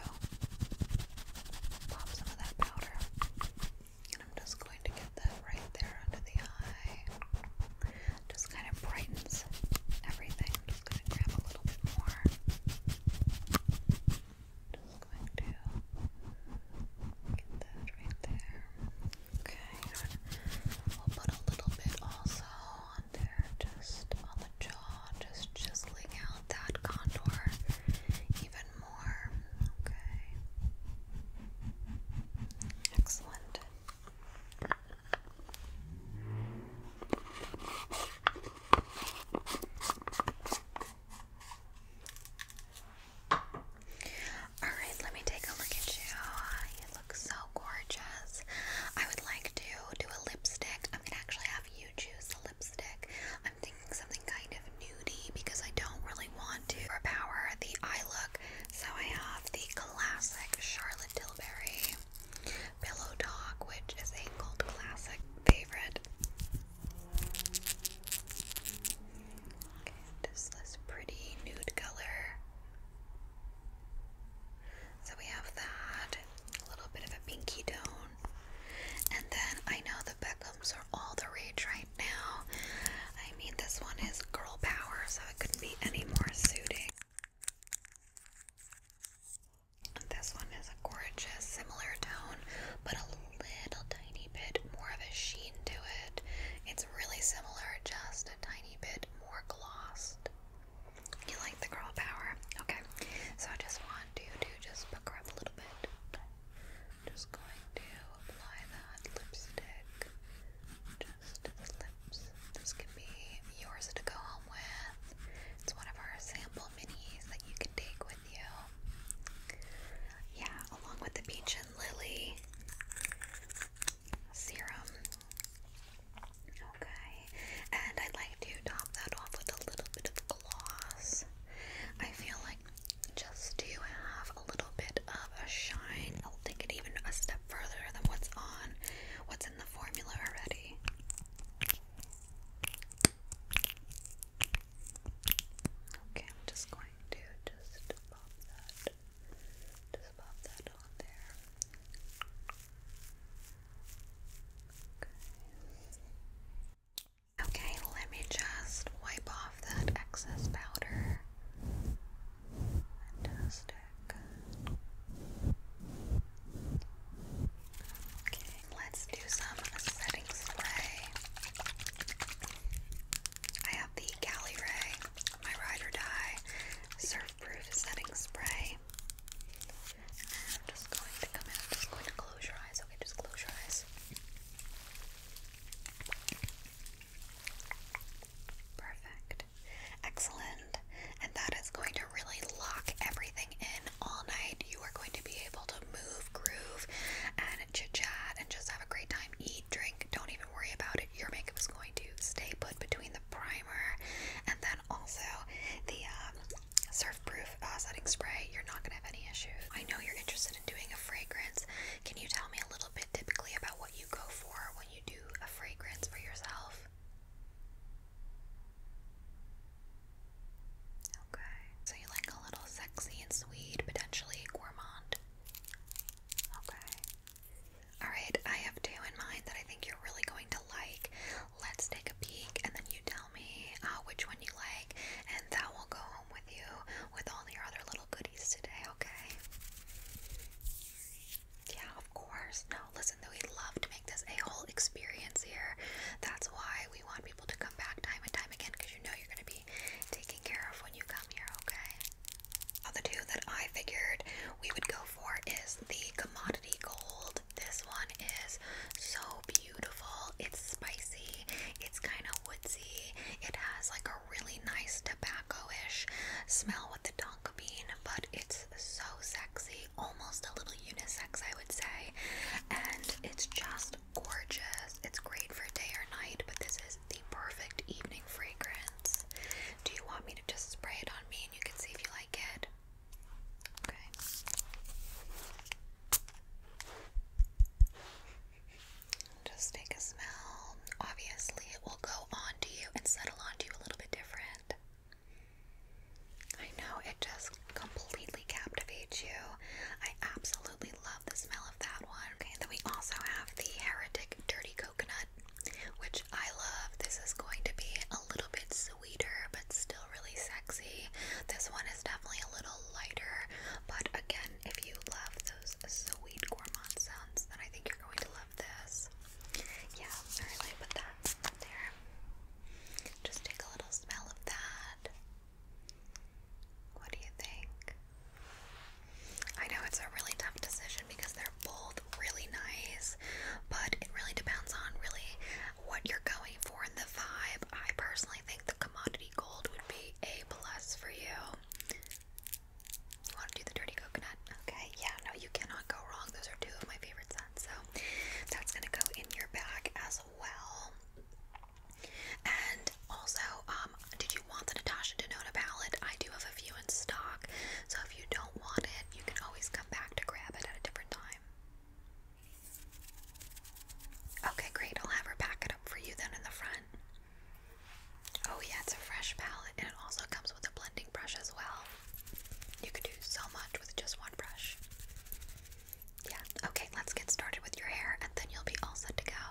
pop some of that powder and I'm just going to get that right there under the eye just kind of brightens everything. just going to grab a little bit more. Just going to get that right there. Okay, we'll put a little bit also on there, just on the jaw, just chiseling out that contour even more. Okay. Excellent. Alright, let me take a look at you. You look so gorgeous. I would like to do a lipstick. I'm gonna actually have you choose the lipstick. I'm thinking something kind of nudie because I don't really want to overpower the eye look. So I have the classic Charlotte Tilbury. Pillow Talk, which is a cult classic favorite. Okay, just pretty nude color. So we have that, a little bit of a pinky tone. And then I know the Beckhams are all the rage right now. I mean, this one is girl power, so it couldn't be any more suiting. This one is a gorgeous, similar tone, but a little tiny bit more of a sheen to it. It's really similar, just a tiny bit more glossed. You like the girl power? Okay, so I just want you to just pucker up a little bit. just going to apply that lipstick. This can be yours to go home with. It's one of our sample minis that you can take with you. Yeah, along with the peach and lily serum. Okay, and I'd like to top that off with a little bit of gloss. I feel like just to have a little bit of a shine, I'll take it even a step further than what's on what's in the formula already. Okay, I'm just going to just pop that just pop that on there. Okay. let me just wipe off that excess powder and just Okay, let's do some setting spray. I have the Cali Ray, my ride or die surf-proof setting spray. I'm just going to come in. just going to close your eyes. Okay, just close your eyes. Perfect. Excellent. And that is going to really lock everything in all night. You are going to be able to move, groove, and chitchat, and just have a great time. Eat, drink, don't even worry about it. Your makeup is going to stay put between the primer and then also the um, surf proof uh, setting spray. You're not going to have any issues. I know you're interested in doing a fragrance. Can you tell me a little bit typically about what you go for when you do a fragrance for yourself? Okay, so you like a little sexy and sweet, potentially gourmand. Okay. Alright, I have two in mind that I think you're really going to like. Let's take a peek and then you tell me uh, which one you like, and that will go home with you with all your other little goodies today, okay? Yeah, of course. Now listen, though, we love to make this a whole experience here. That's why we want people to come back time and time again because you know you're going to be taken care of when you come here, okay? Other two that I figured we would go for is the commodity gold. This one is so beautiful. It's spicy. It's kind of woodsy. It has like a really nice tobacco-ish smell with the tonka bean, but it's so sexy, almost a little unisex, I would say. And it's just gorgeous. It's great for day or night, but this is the perfect evening fragrance. Do you want me to just spray it on me and you can see if you like it? Okay. Just take a smell. Obviously, it will go onto you and settle onto you a little bit different. I know it just completely captivates you. I absolutely love the smell of that one. Okay, and then we also have the Heretic Dirty Coconut, which I love. This is going to be a little bit sweeter, but still really sexy. This one is definitely a little lighter, but again, if you love those sweet gourmand sounds, then I think you're going to love this. Yeah, I really put that there. Just take a little smell of that. What do you think? I know it's a really tough decision because they're both really nice, but it really depends on really what you're going for in the vibe. I personally think the commodity gold would be a plus for you. You want to do the dirty coconut? Okay, yeah, no, you cannot go wrong. Those are two of my favorite scents. So that's gonna go in your bag as well. And also, um, did you want the Natasha Denona palette? I do have a few in stock, so if you don't want it, you can always come back to grab it at a different time. Okay, great. I'll have her pack it up for you then in the front. Oh yeah, it's a fresh palette and it also comes with a blending brush as well. You could do so much with just one brush. Yeah, okay, let's get started with your hair and then you'll be all set to go.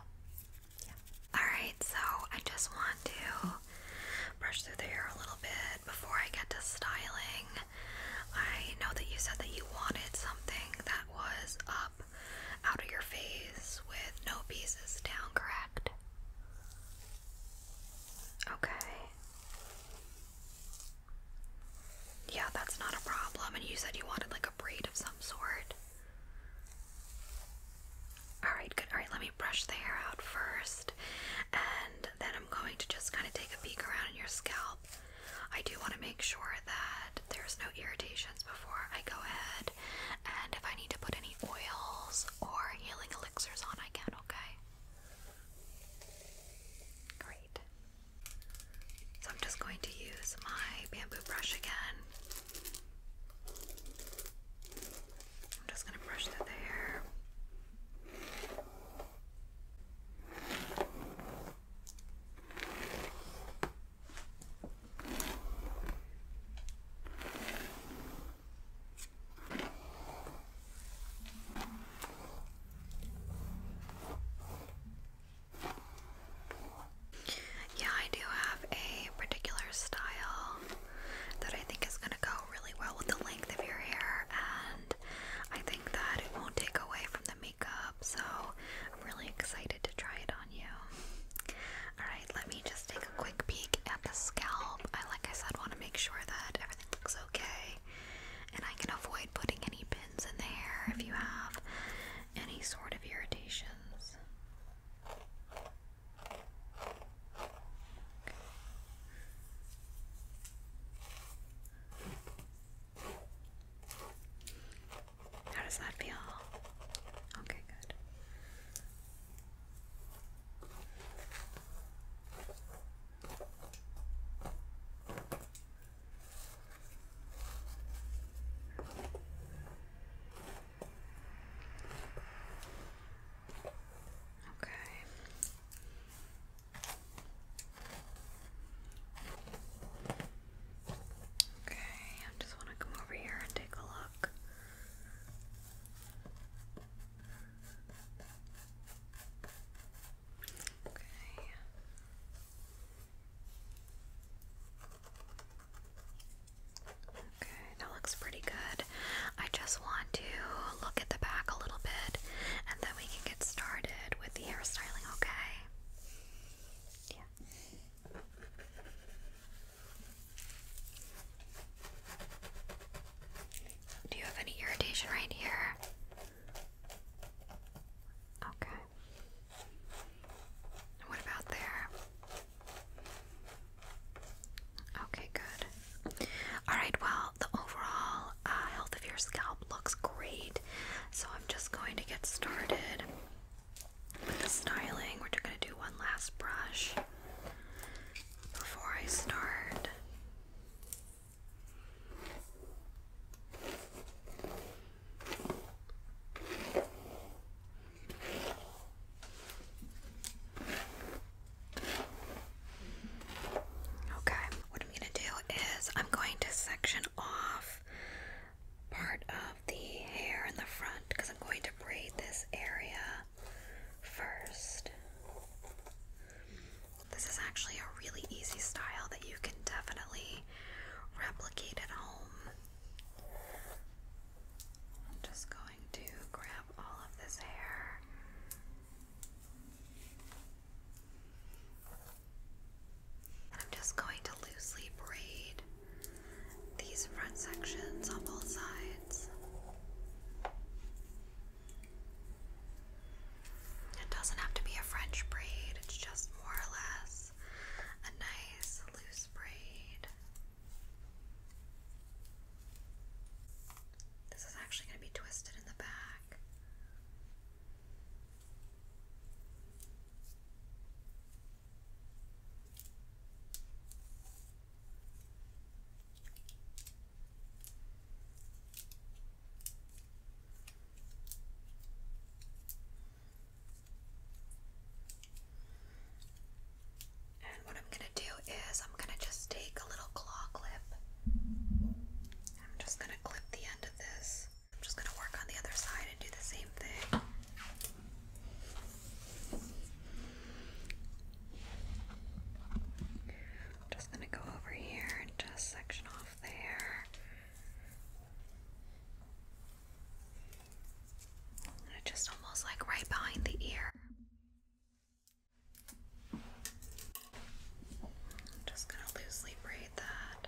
Yeah. Alright, so I just want to brush through the hair a little bit before I get to styling. I know that you said that you wanted something that was up out of your face with no pieces down, correct? Okay. Yeah, that's not a problem. And you said you wanted like a braid of some sort. Alright, good. Alright, let me brush the hair out first. And then I'm going to just kind of take a peek around in your scalp. I do want to make sure that there's no irritations before I go ahead. And if I need to put any oils or healing elixirs on, I can, okay? Great. So I'm just going to use my bamboo brush again. I'm just going to brush the hair. Yeah, I do have a particular style that I think is going to go really well with the length of your hair, and I think that it won't take away from the makeup, so I'm really excited to try it on you. Alright, let me just take a quick peek at the scalp. I, like I said, want to make sure that everything looks okay. And I can avoid putting any pins in the hair if you have any sort of irritations. How does that feel? Okay, good. Okay. Okay, I just want to come over here and take a look. Okay. Okay, that looks pretty good. I just want to look at the back a little bit and then we can get started with the hairstyling, okay? Yeah. Do you have any irritation right here? Okay. What about there? Okay, good. Alright, well, the overall uh, health of your scalp looks great. So I'm just going to get started with the styling. We're just going to do one last brush before I start. Okay, what I'm going to do is I'm going to section off part of the hair in the front because I'm going to braid this area first. This is actually a really easy style that you can definitely replicate at home. I'm just going to grab all of this hair. And I'm just going to loosely braid these front sections on both sides. It doesn't have to be a French braid, it's just more or less a nice loose braid. This is actually going to be twisted in the back. And what I'm going to do is I'm going to just take a little claw clip. I'm just going to clip the end of this. I'm just going to work on the other side and do the same thing just gonna go over here and just section off there. just almost like right behind the ear. just gonna loosely braid that.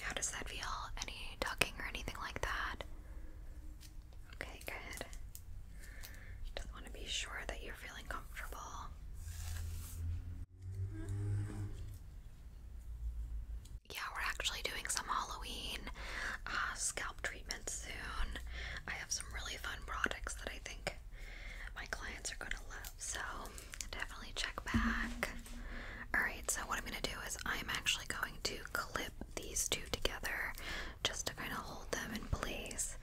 How does that feel? Any tucking or anything like that? Okay, good. Just want to be sure that you're feeling comfortable. Yeah, we're actually doing some Halloween uh, scalp treatment soon. I have some really fun products that I think my clients are going to love. So definitely check back. Alright, so what I'm going to do is I'm actually going to clip these two together just to kind of hold them in place.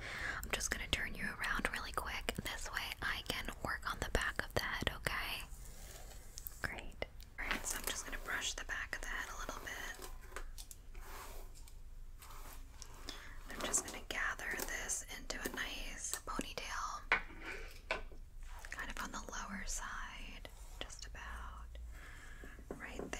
I'm just going to turn you around really quick. This way I can work on the back of the head, okay? Great. Alright, so I'm just going to brush the back of the head a little bit. I'm just going to gather this into a nice ponytail kind of on the lower side, just about right there.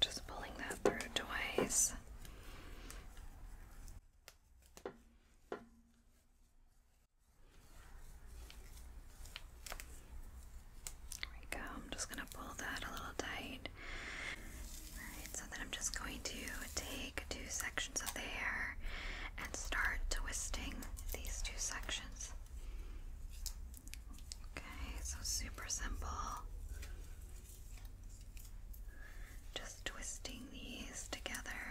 just pulling that through twice. There we go. I'm just going to pull that a little tight. Alright, so then I'm just going to take two sections of the hair and start twisting these two sections. Okay, so super simple. Just twisting these together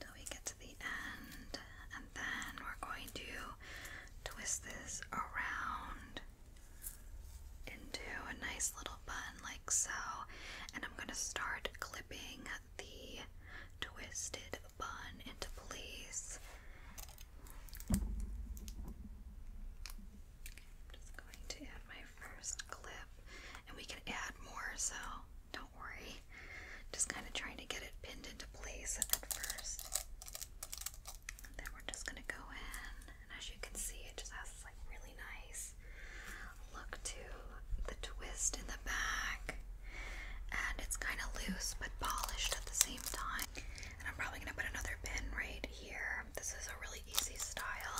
till we get to the end, and then we're going to twist this around into a nice little bun, like so. And I'm going to start clipping the twisted bun into place. I'm just going to add my first clip, and we can add more, so don't worry. Just kind of trying to get it pinned into place at first. And then we're just going to go in, and as you can see, it just has like really nice look to the twist in the back, and it's kind of loose but polished at the same time. And I'm probably going to put another pin right here this is a really easy style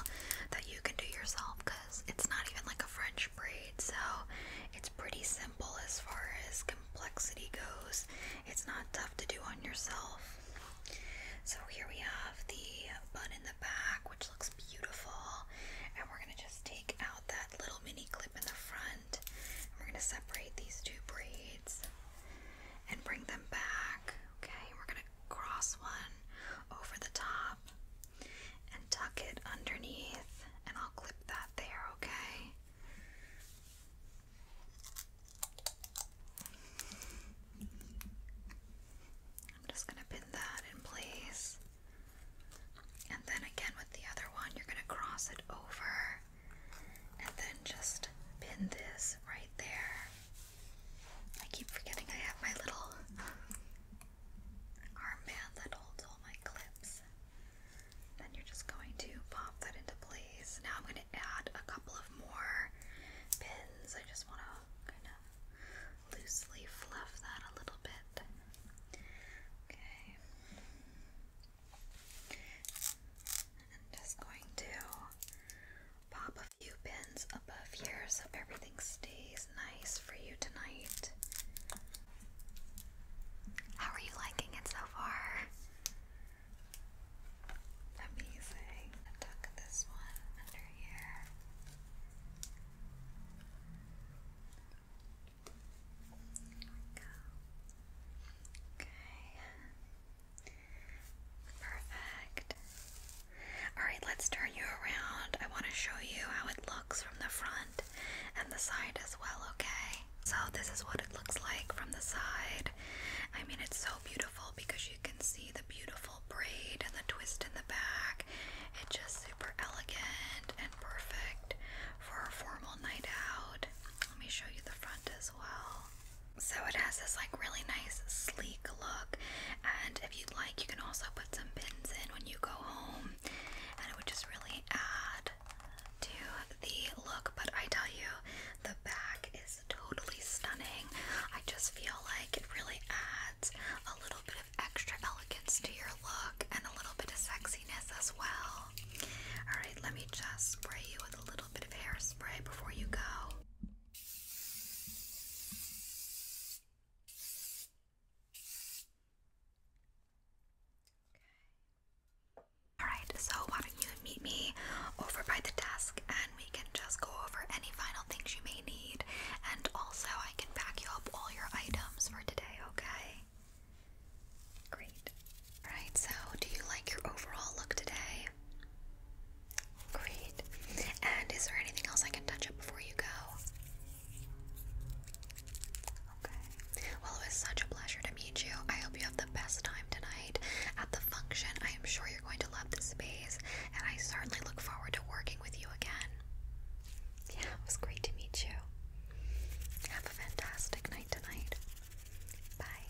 that you can do yourself because it's not even like a French braid, so it's pretty simple as far as complexity goes. It's not tough to do on yourself. So here we have the bun in the back, which looks beautiful, and we're gonna just take out that little mini clip in the front. we're gonna separate these two braids and bring them back. Okay, we're going to cross one over the top and tuck it underneath, and I'll clip that there, okay? I'm just going to pin that in place. And then again with the other one, you're going to cross it over and then just pin this right there. I keep forgetting I have my little armband that holds all my clips. Then you're just going to pop that into place. Now I'm going to add a couple of more pins. I just want to kind of loosely fluff that a little bit. Okay. I'm just going to pop few pins above here so everything stays nice for you tonight. How are you liking it so far? Amazing. Tuck this one under here. go. Okay. Perfect. Alright, let's turn you around. I want to show you how it looks from the front and the side as well, okay? So, this is what it looks like from the side. I mean, it's so beautiful because you can see the beautiful braid and the twist in the back. It's just super elegant and perfect for a formal night out. Let me show you the front as well. So it has this like really nice sleek look and if you'd like you can also put some pins in when you go home and it would just really add to the look but I tell you the back is totally stunning. I just feel like it really adds a little bit of extra elegance to your look and a little bit of sexiness as well. Alright, let me just spray you with a little bit of hairspray before you go. Alright, so why don't you meet me over by the desk and we can just go over any final things you may need and also I can pack you up all your items for today, okay? Great. Alright, so do you like your overall look today? Great. And is there anything else I can touch up before you go? Okay. Well, it was such a pleasure to meet you. I hope you have the best time tonight at the function. I am sure you're going to love the space, and I certainly look forward to working with you again. Yeah, it was great to meet you. Have a fantastic night tonight. Bye.